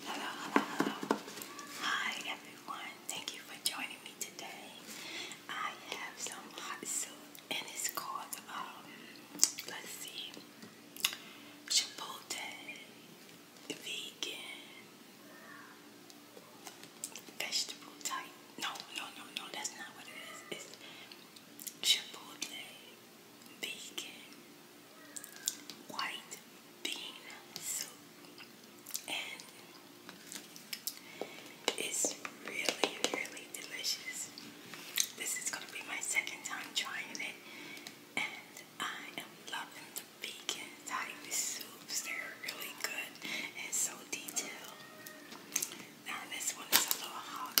Hello, hello, hello. Hi, everyone. Thank you for joining me today. I have some hot soup, and it's called, um, let's see, Chipotle Vegan Vegetable Type. No, no, no, no, that's not what it is. It's Chipotle vegan white bean soup, and it's really, really delicious. This is going to be my second time trying it, and I am loving the vegan type soups. They're really good and so detailed. Now, this one is a little hot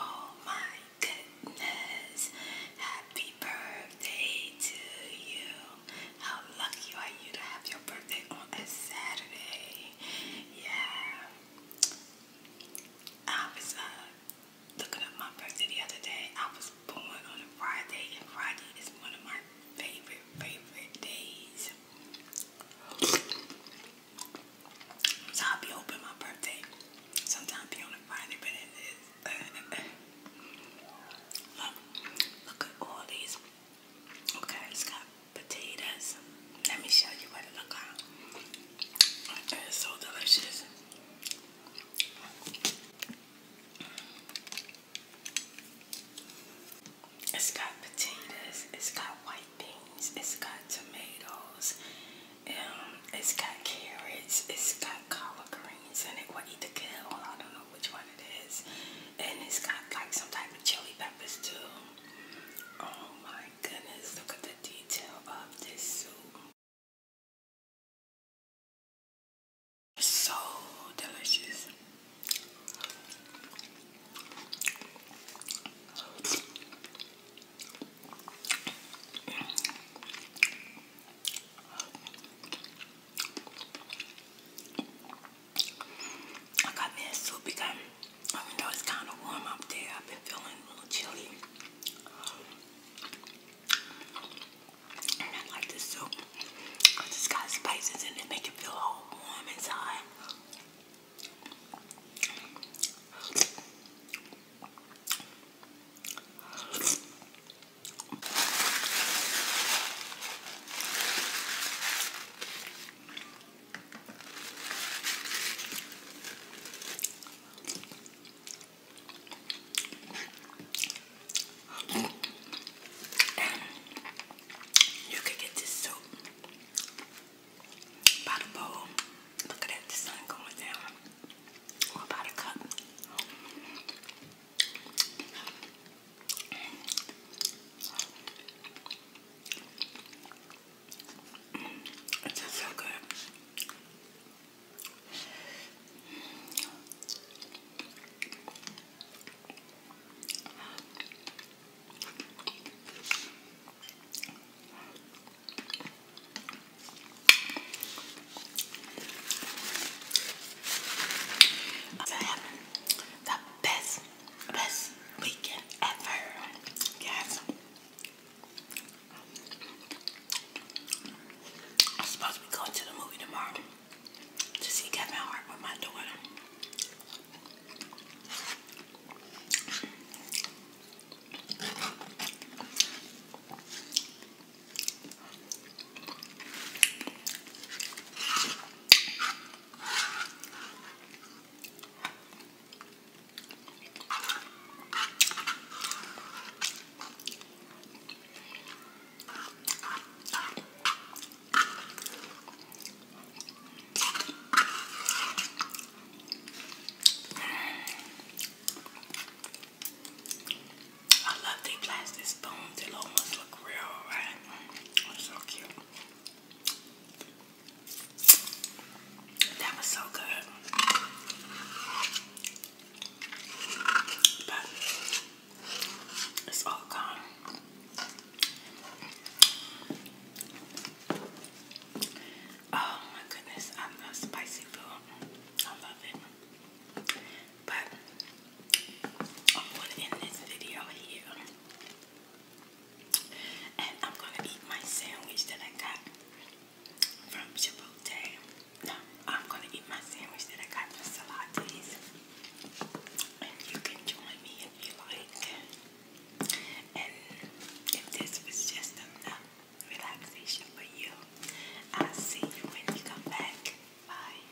Oh my goodness. Happy birthday to you. How lucky are you to have your birthday on a Saturday? Yeah. I was uh, looking up my birthday the other day. I was born on a Friday, and Friday is one of my favorite, favorite days. So i open my birthday. Sometimes be on a Friday, but it is. Uh, look, look at all these. Okay, it's got potatoes. Let me show you what it looks like. It's so delicious. It's got potatoes, it's got white beans, it's got tomatoes, um, it's got carrots, it's got collard greens and it. Well, either kale, I don't know which one it is. And it's got like some type of chili peppers too. Oh my goodness, look at the detail of this soup. So delicious. I got me soup because even though it's kind of warm up there, I've been feeling a little chilly. I like this soup it's got spices and it, make it feel all warm inside. You could get this soup by the bowl. Look at that, the sun going down. Or by the cup. It tastes so good. I'm the best, best weekend ever, guys. I'm supposed to be going to the movie tomorrow to see Kevin Hart with my daughter. I love these plastic spoons. They almost look real, right? so cute. That was so good. But it's all gone. Oh my goodness, I love spicy food. I love it. But I'm going to end this video here. And I'm gonna eat my sandwich that I got from Chipotle. No, I'm gonna eat my sandwich that I got from Salates. And you can join me if you like. And if this was just enough relaxation for you, I'll see you when you come back. Bye.